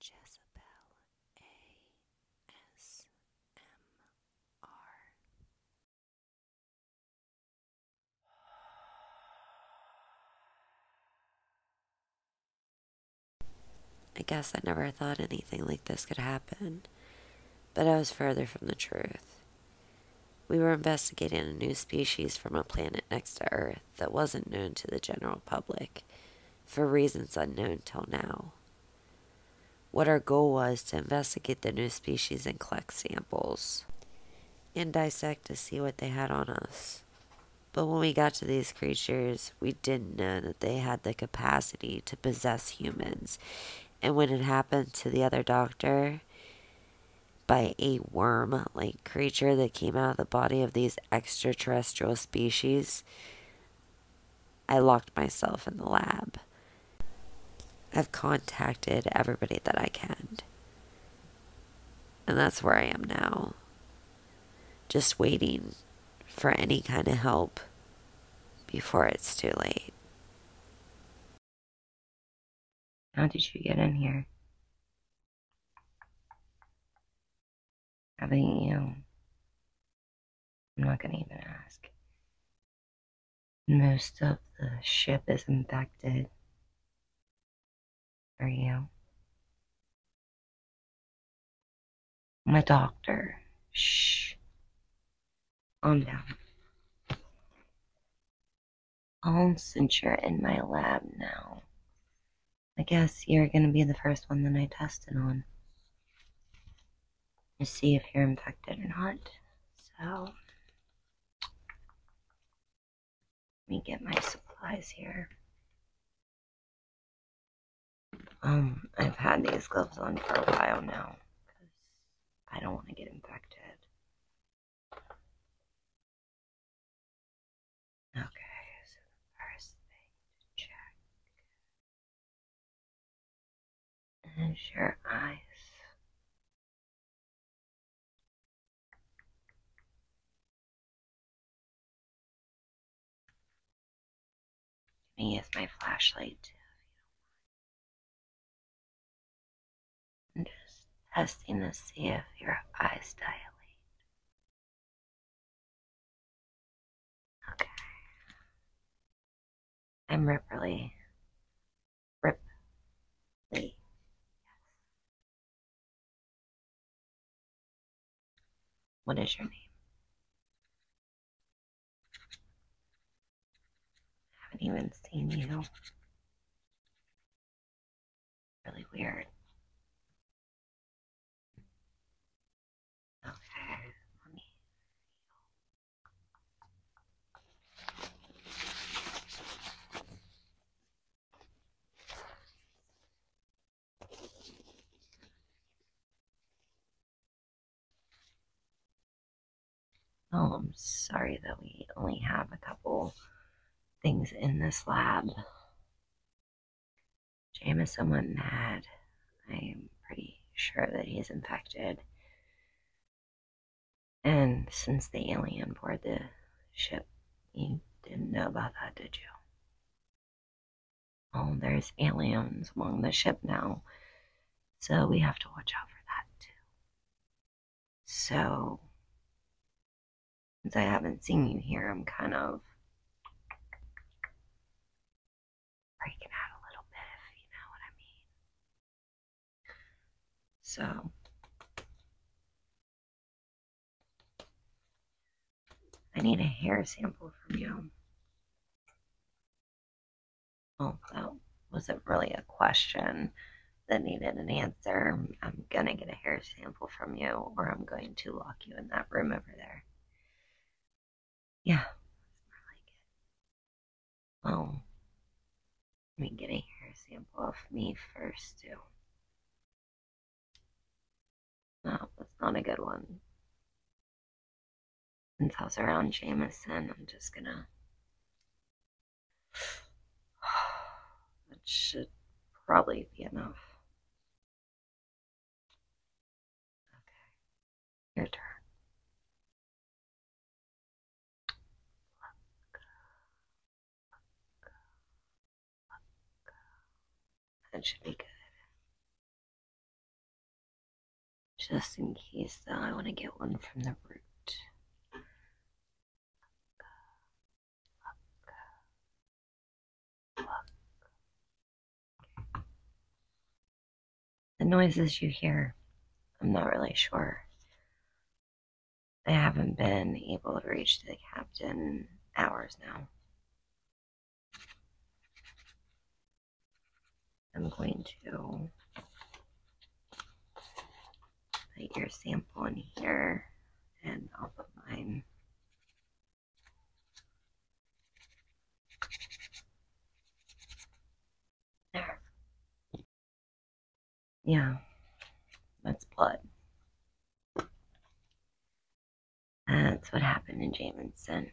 Jezebel I guess I never thought anything like this could happen, but I was further from the truth. We were investigating a new species from a planet next to Earth that wasn't known to the general public for reasons unknown till now. What our goal was to investigate the new species and collect samples and dissect to see what they had on us. But when we got to these creatures, we didn't know that they had the capacity to possess humans. And when it happened to the other doctor by a worm like creature that came out of the body of these extraterrestrial species, I locked myself in the lab. I've contacted everybody that I can. And that's where I am now. Just waiting for any kind of help before it's too late. How did you get in here? I've you. I'm not gonna even ask. Most of the ship is infected. Are you? I'm a doctor. Shh. On down all since you're in my lab now. I guess you're going to be the first one that I tested on to see if you're infected or not. So, let me get my supplies here. Um, I've had these gloves on for a while now because I don't want to get infected. Okay, so the first thing to check is your eyes. Let me use my flashlight too? I'm just testing to see if your eyes dilate. Okay. I'm Ripperly. Ripley. What is your name? haven't even seen you. Really weird. Okay, let me. Oh, I'm sorry that we only have a couple things in this lab. James is someone mad. I'm pretty sure that he is infected. And since the alien boarded the ship, you didn't know about that, did you? Oh, there's aliens along the ship now, so we have to watch out for that too. So, since I haven't seen you here, I'm kind of breaking out a little bit, if you know what I mean. So, I need a hair sample from you. Oh, that wasn't really a question that needed an answer, I'm going to get a hair sample from you or I'm going to lock you in that room over there. Yeah, Well, let me get a hair sample of me first, too. No, that's not a good one. Since I was around Jamison, I'm just gonna That should probably be enough. Okay, your turn. That should be good. Just in case, though, I want to get one from the root. The noises you hear, I'm not really sure. I haven't been able to reach the captain hours now. I'm going to put your sample in here and I'll put mine. There. Yeah, that's blood. That's what happened in Jamison.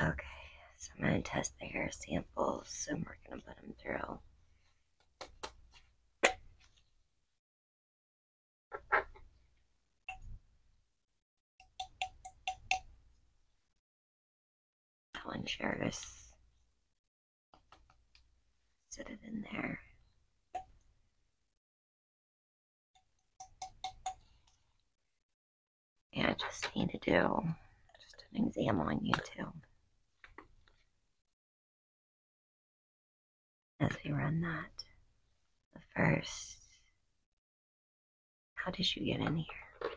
Okay, so I'm going to test the hair samples and we're going to put them through. That one sure just it in there. Yeah, I just need to do just an exam on you too. As we run that, the first, how did you get in here?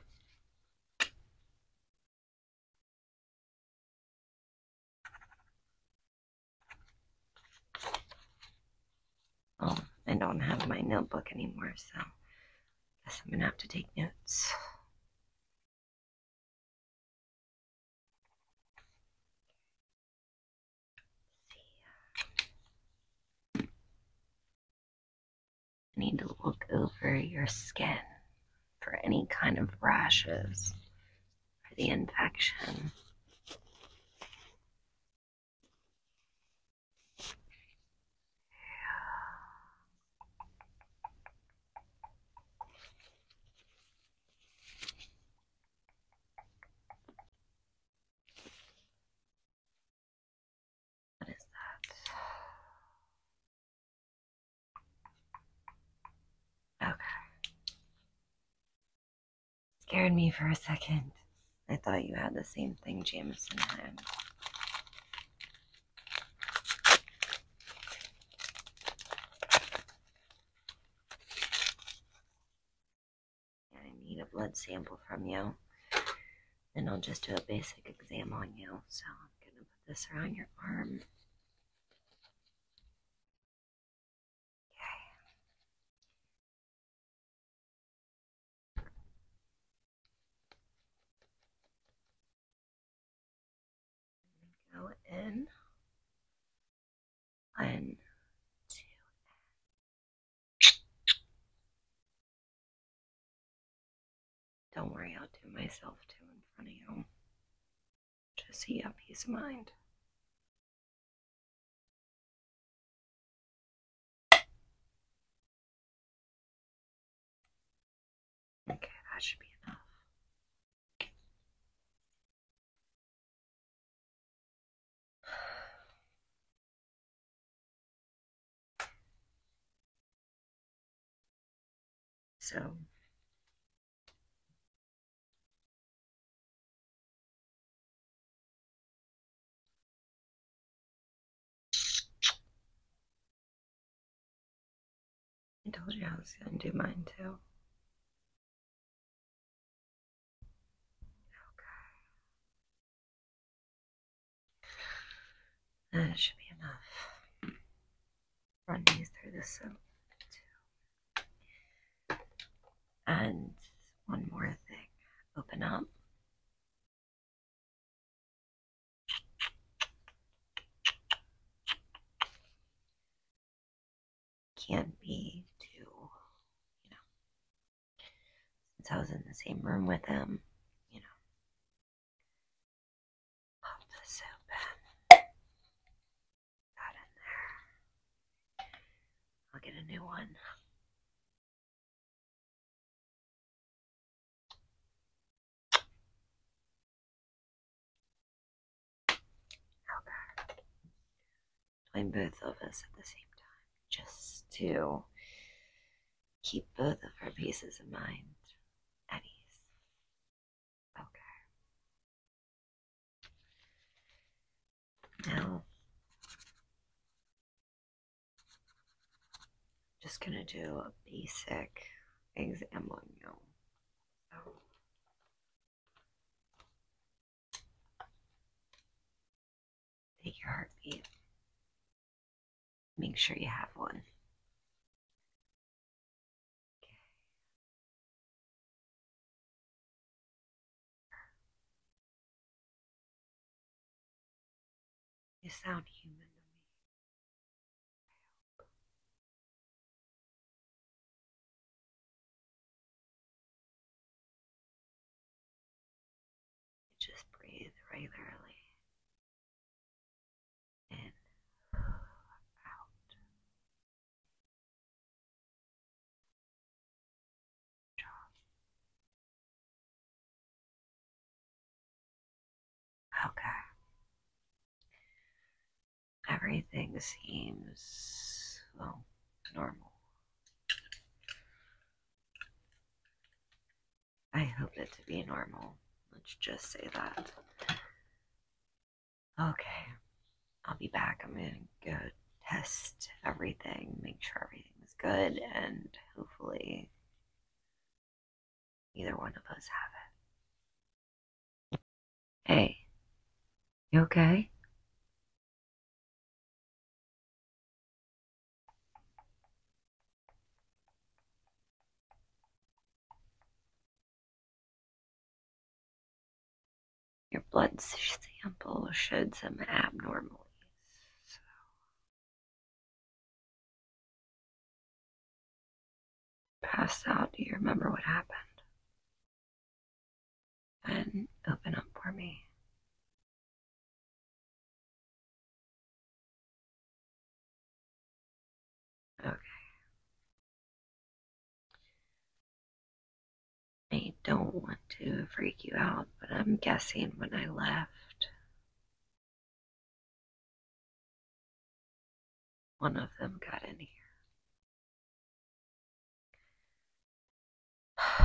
Oh, I don't have my notebook anymore, so I guess I'm gonna have to take notes. I need to look over your skin for any kind of rashes or the infection. What is that? Okay. Scared me for a second. I thought you had the same thing Jamison had. I need a blood sample from you. and I'll just do a basic exam on you. So I'm gonna put this around your arm. Go in one, two, don't worry, I'll do myself too in front of you. Just he up his mind. Okay, that should be enough. So I told you I was going to do mine too. Okay. That should be enough run these through the soap And one more thing. Open up. Can't be too, you know, since I was in the same room with him, you know. Pop the soap I'll get a new one. Okay. Doing both of us at the same time, just to keep both of our pieces of mind at ease. Okay. Now, just gonna do a basic exam on you. take your heartbeat. Make sure you have one. You sound human to me. just breathe regularly in, out. Okay. Everything seems, normal. I hope it to be normal. Let's just say that okay, I'll be back. I'm going to go test everything, make sure everything is good, and hopefully either one of us have it. Hey, you okay? Your blood sample showed some abnormalities. Pass out. Do you remember what happened? And open up for me. Okay. I don't want to freak you out, but I'm guessing when I left, one of them got in here.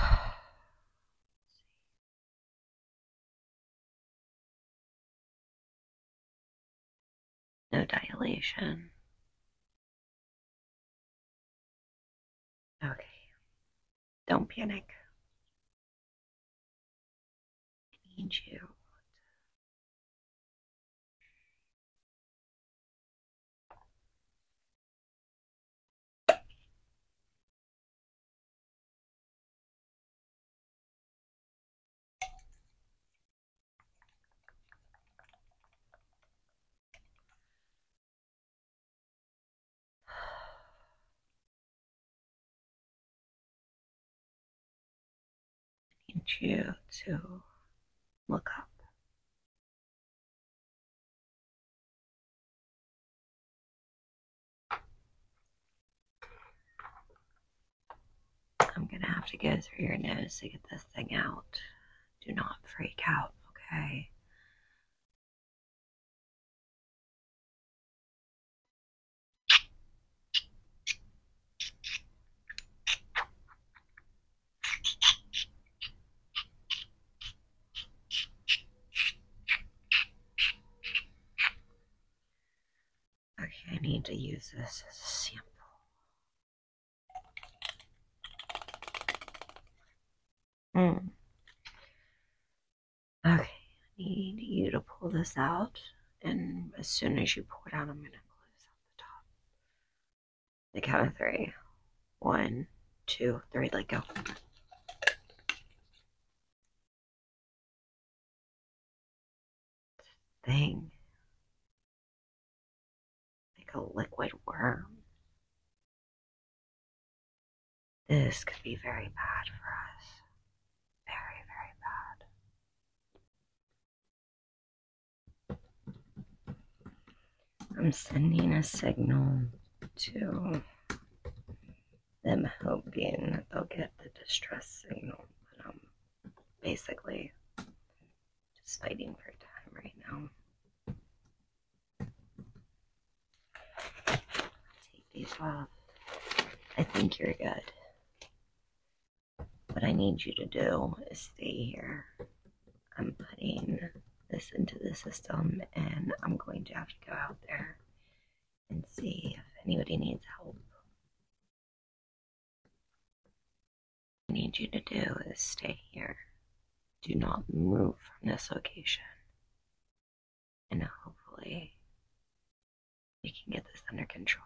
No dilation. Okay. Don't panic. I need you. I need you to look up. I'm gonna have to go through your nose to get this thing out. Do not freak out, okay? Okay, I need to use this as a sample. Mm. Okay, I need you to pull this out, and as soon as you pull it out, I'm going to close up the top. The count of three, one, two, three. let go thing. Like a liquid worm. This could be very bad for us. Very, very bad. I'm sending a signal to them help gain, they'll get the distress signal. But I'm um, basically, just fighting for time right now. Take these off. I think you're good. What I need you to do is stay here. I'm putting this into the system and I'm going to have to go out there and see if anybody needs help. I need you to do is stay here. Do not move from this location. And hopefully, we can get this under control.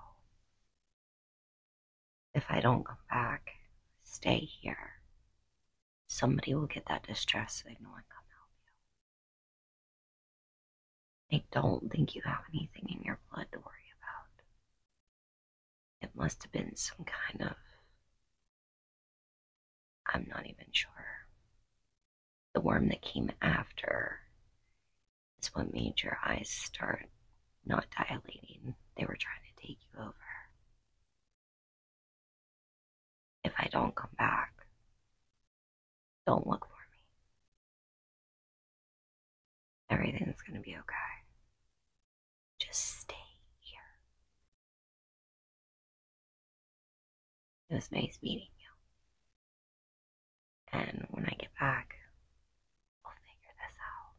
If I don't come back, stay here. Somebody will get that distress signal and come help you. I don't think you have anything in your blood to worry about. It must have been some kind of. I'm not even sure. The worm that came after is what made your eyes start not dilating. They were trying to take you over. If I don't come back, don't look for me. Everything's gonna be okay. Just stay here. It was nice meeting you. And when I get back, we'll figure this out.